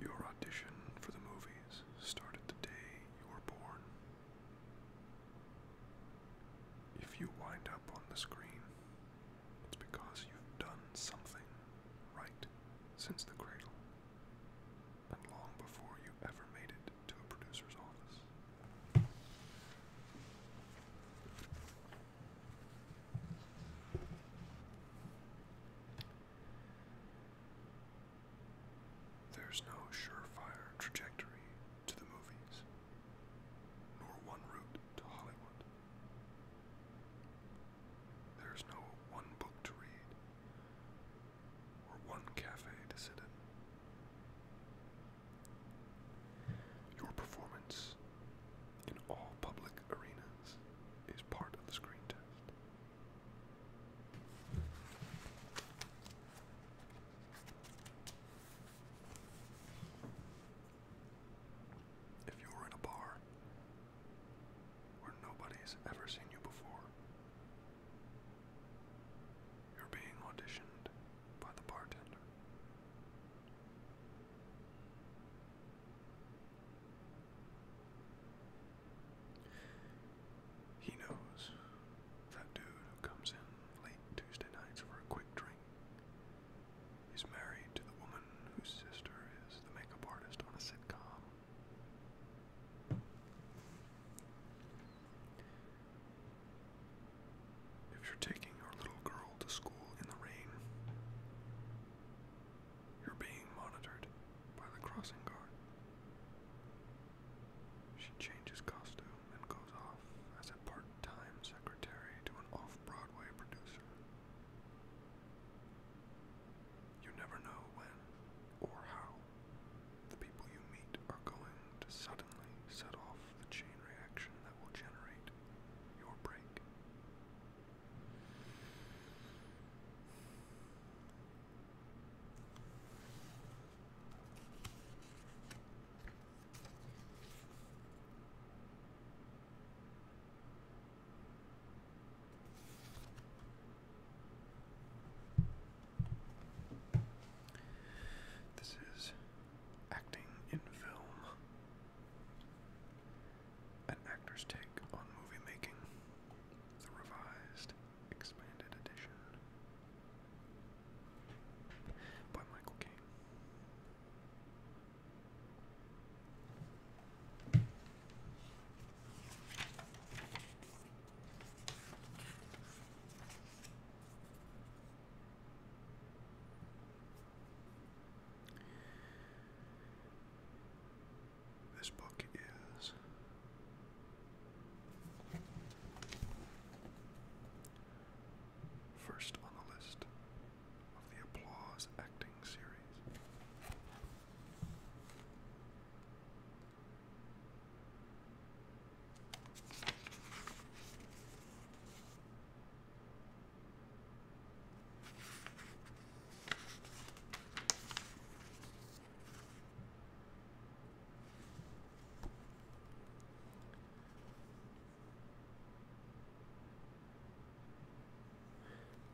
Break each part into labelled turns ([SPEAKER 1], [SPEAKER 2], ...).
[SPEAKER 1] Your audition for the movies started the day you were born. If you wind up on the screen, it's because you've done something right since the cradle and long before you ever made it to a producer's office. There's no surefire trajectory to the movies, nor one route to Hollywood. There's no one book to read, or one cafe to sit in. Your performance in all public arenas is part of the screen test. If you're in a bar where nobody's ever seen you before, you're being auditioned by the bartender. He knows that dude who comes in late Tuesday nights for a quick drink He's married to the woman whose sister is the makeup artist on a sitcom. If you're taking your little girl to school in the rain, you're being monitored by the crossing guard. She changes costume and goes off as a part time secretary to an off Broadway producer. You never know when or how the people you meet are going to suddenly set off the chain reaction that will generate your break. This is acting in film, an actor's take on movie making, the revised, expanded edition by Michael Caine. This book is first on the list of the Applause Acting Series.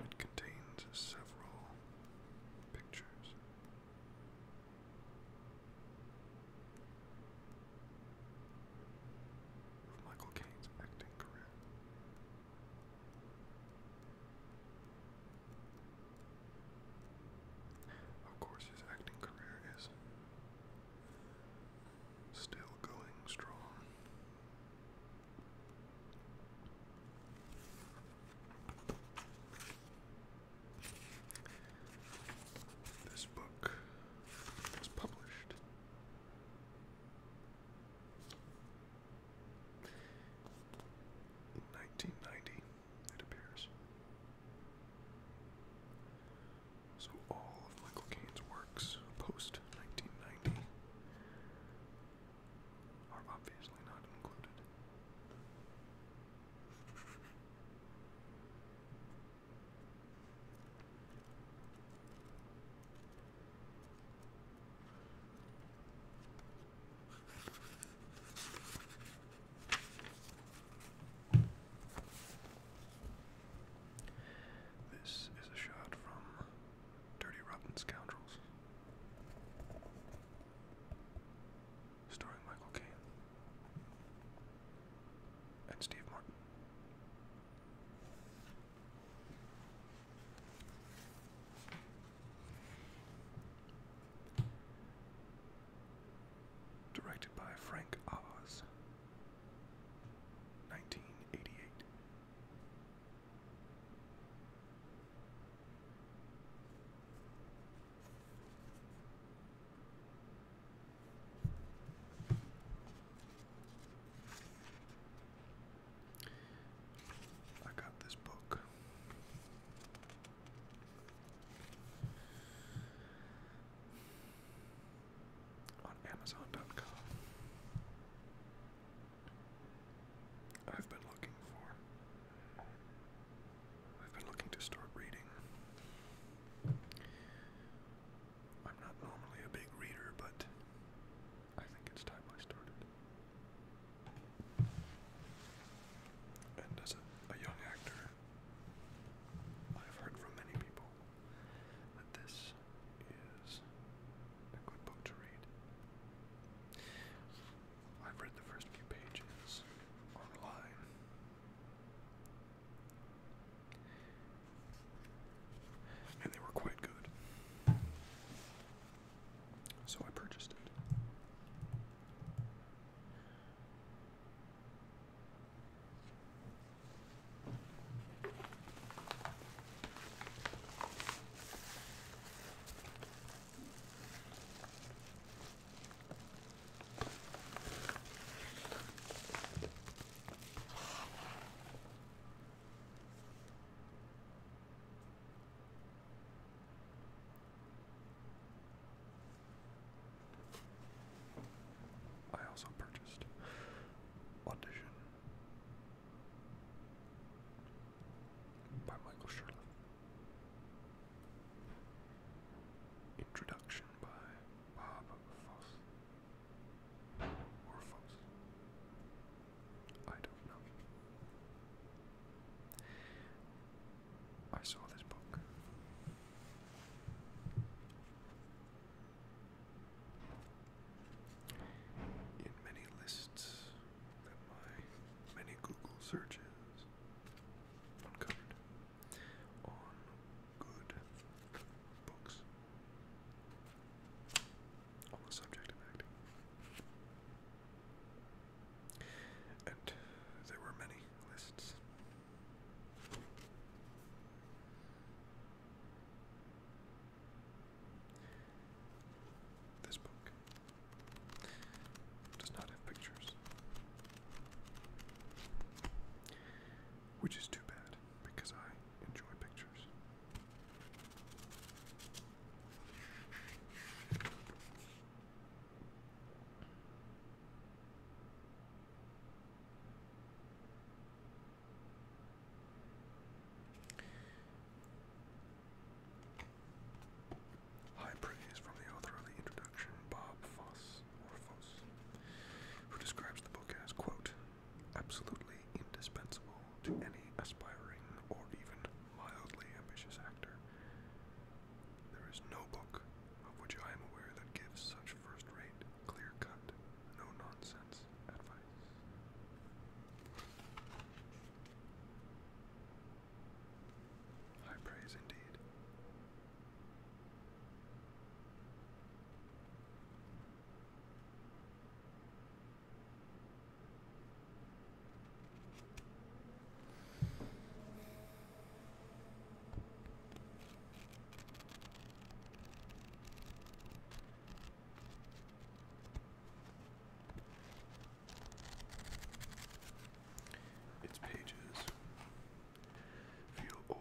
[SPEAKER 1] It contains several pictures of Michael Caine's acting career. Of course, his acting career is still going strong. This book was published. In 1990, it appears. So all of Michael Caine's works post 1990 are obviously not included. This is a shot from Dirty Rotten Scoundrels, starring Michael Caine and Steve Martin. Directed by Frank Oz, 1988. I got this book. On Amazon.com, I've been looking for, I've been looking to start reading I'm not normally a big reader, but I think it's time I started. And as a, young actor, I've heard from many people that this is a good book to read. I've read the first few pages online. And they were quite good. So I purchased it. I also purchased Audition by Michael Shirley. Introduction by Bob Fosse. Or I don't know. I saw this book. In many lists that my many Google searches uncovered on good books on the subject of acting. And there were many lists. This book does not have pictures. Which is too bad because I enjoy pictures. High praise from the author of the introduction, Bob Foss, who describes the book as, quote, absolutely indispensable to any aspiring or even mildly ambitious actor. There is no book of which I am aware that gives such first rate, clear cut, no nonsense advice. High praise indeed. Its pages feel old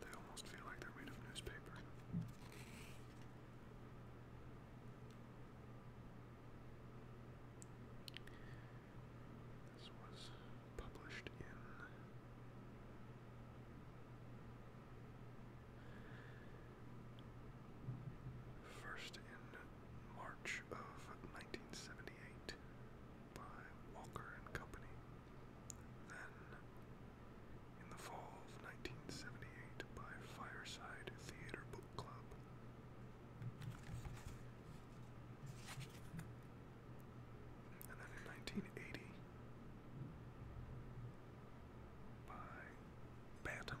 [SPEAKER 1] they almost feel like they're made of newspaper. This was published in. First in March of 1978 by Walker and Company. Then in the fall of 1978 by Fireside Theater Book Club. And then in 1980 by Bantam.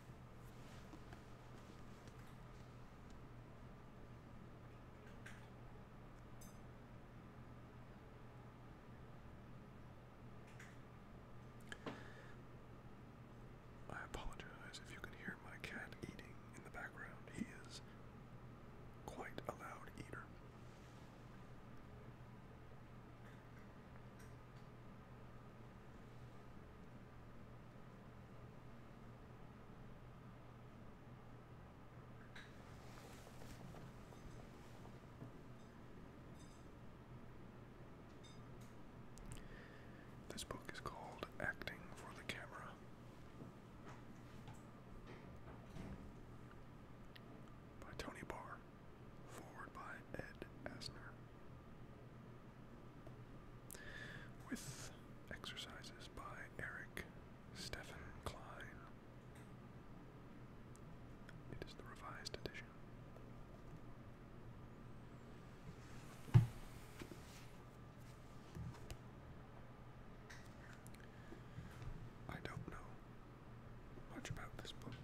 [SPEAKER 1] I apologize if you can hear my cat eating in the background. He is quite a loud eater. This book is called Acting for the Camera. By Tony Barr, forward by Ed Asner with exercises by Eric Stephen Klein. It is the revised edition. I don't know much about this book.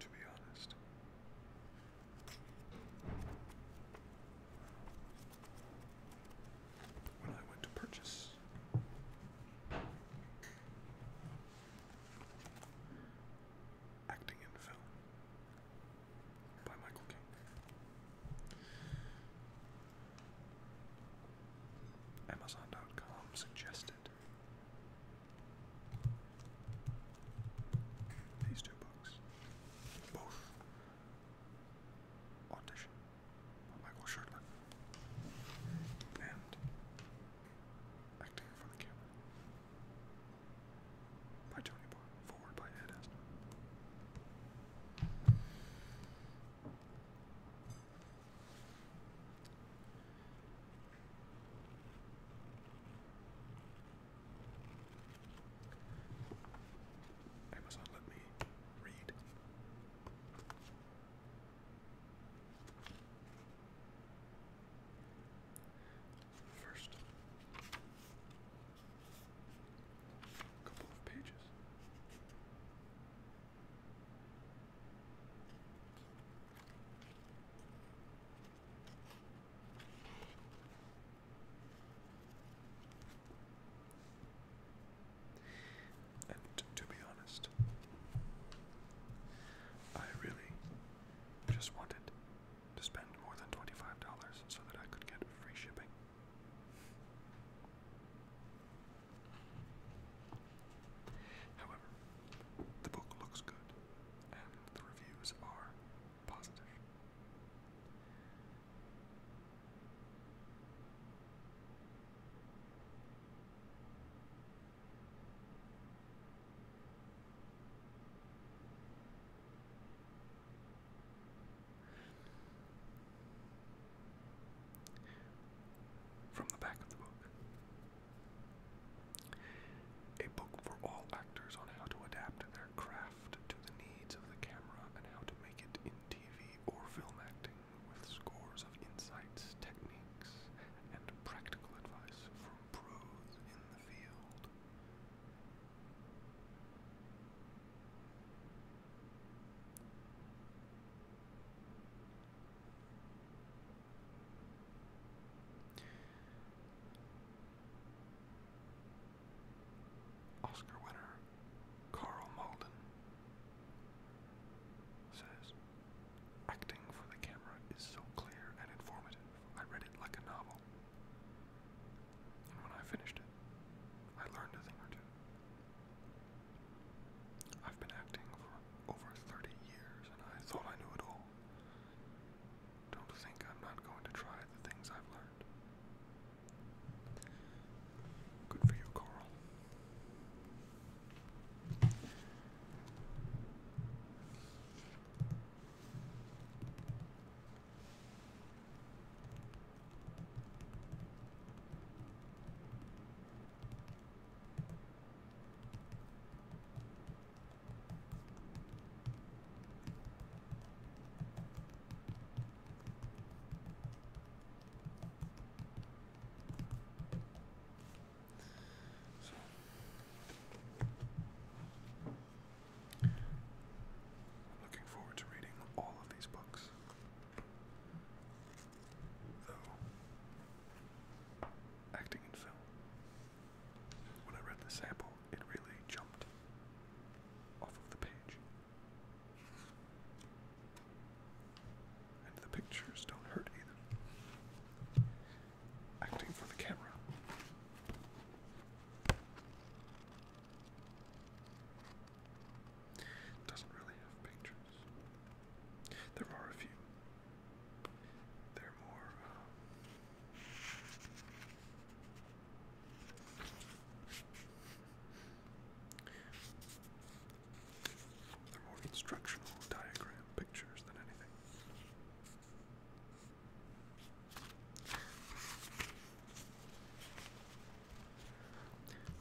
[SPEAKER 1] To be honest. When I went to purchase Acting in Film by Michael King, Amazon.com suggested these two books. Both Audition by Michael Shertler and Acting for the Camera by Tony Barr, forward by Ed Asner. Amazon let me read. First, a couple of pages. And to be honest, I really just wanted to spend more than $25 so that I could get free shipping. However, the book looks good, and the reviews are positive. From the back of the book. A book for all actors on how to adapt their craft to the needs of the camera and how to make it in TV or film acting with scores of insights, techniques, and practical advice from pros in the field. Oscar winner Carl Malden says, Acting for the camera is so clear and informative. I read it like a novel. And when I finished it, I learned a thing or two. I've been acting for over 30 years and I thought I knew it all. Don't think I'm not going to try the things I've learned. Good for you, Carl. So, i looking forward to reading all of these books though acting in film. When I read the sample, it really jumped off of the page. And the pictures don't hurt either. Acting for the camera. Doesn't really have pictures. There are a few. They're uh, more. instructional diagram pictures than anything.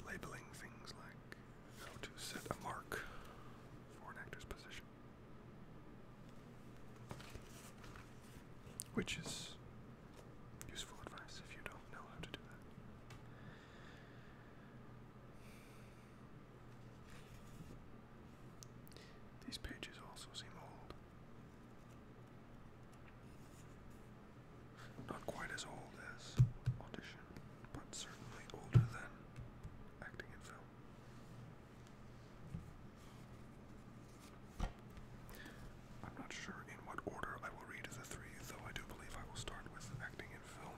[SPEAKER 1] Labeling things like how to set a mark for an actor's position. Which is useful advice if you don't know how to do that. These pages also seem old. Not quite as old as Audition, but certainly older than acting in film. I'm not sure in what order I will read the three, though I do believe I will start with acting in film.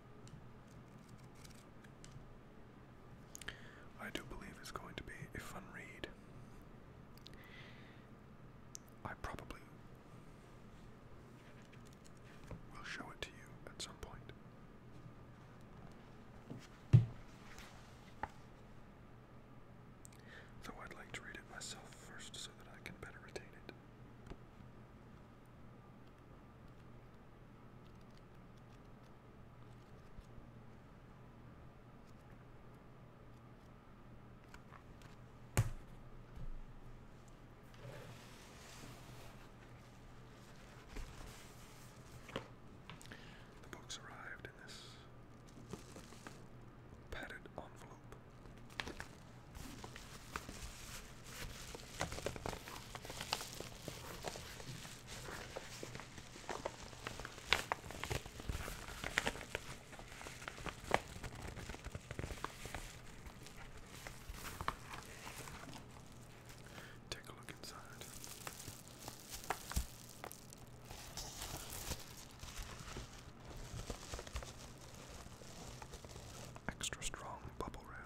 [SPEAKER 1] I do believe it's going to be a fun read. I probably will show it to you at some point. Though I'd like to read it myself first so that I can better retain it. The books arrived in this padded envelope. Take a look inside. Extra strong bubble wrap.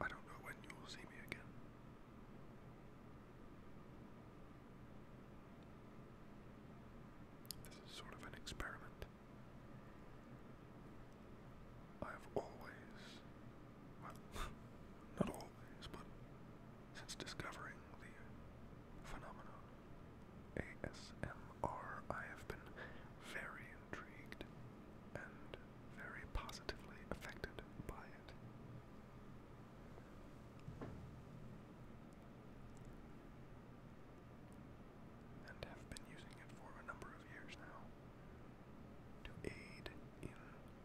[SPEAKER 1] I don't know when you will see me again. This is sort of an experiment. I have always, not always, but since discovering the phenomenon ASMR, I have been very intrigued and very positively affected by it. And have been using it for a number of years now to aid in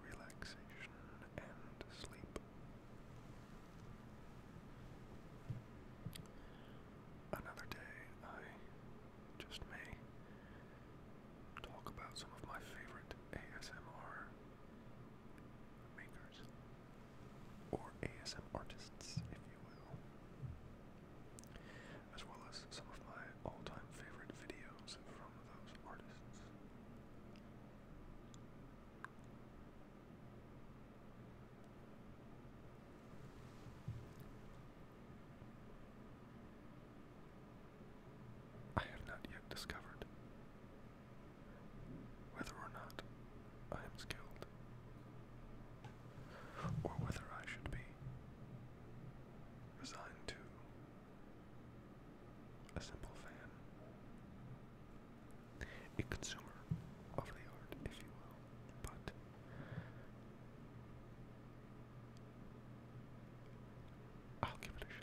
[SPEAKER 1] relaxation and sleep. Another day, I just may talk about some of my favorite ASMR makers or ASM artists, if you will, as well as some of my all time favorite videos I have not yet discovered whether or not I am skilled, or whether I should be resigned to a simple fan. A consumer of the art, if you will, but I'll give it a shot.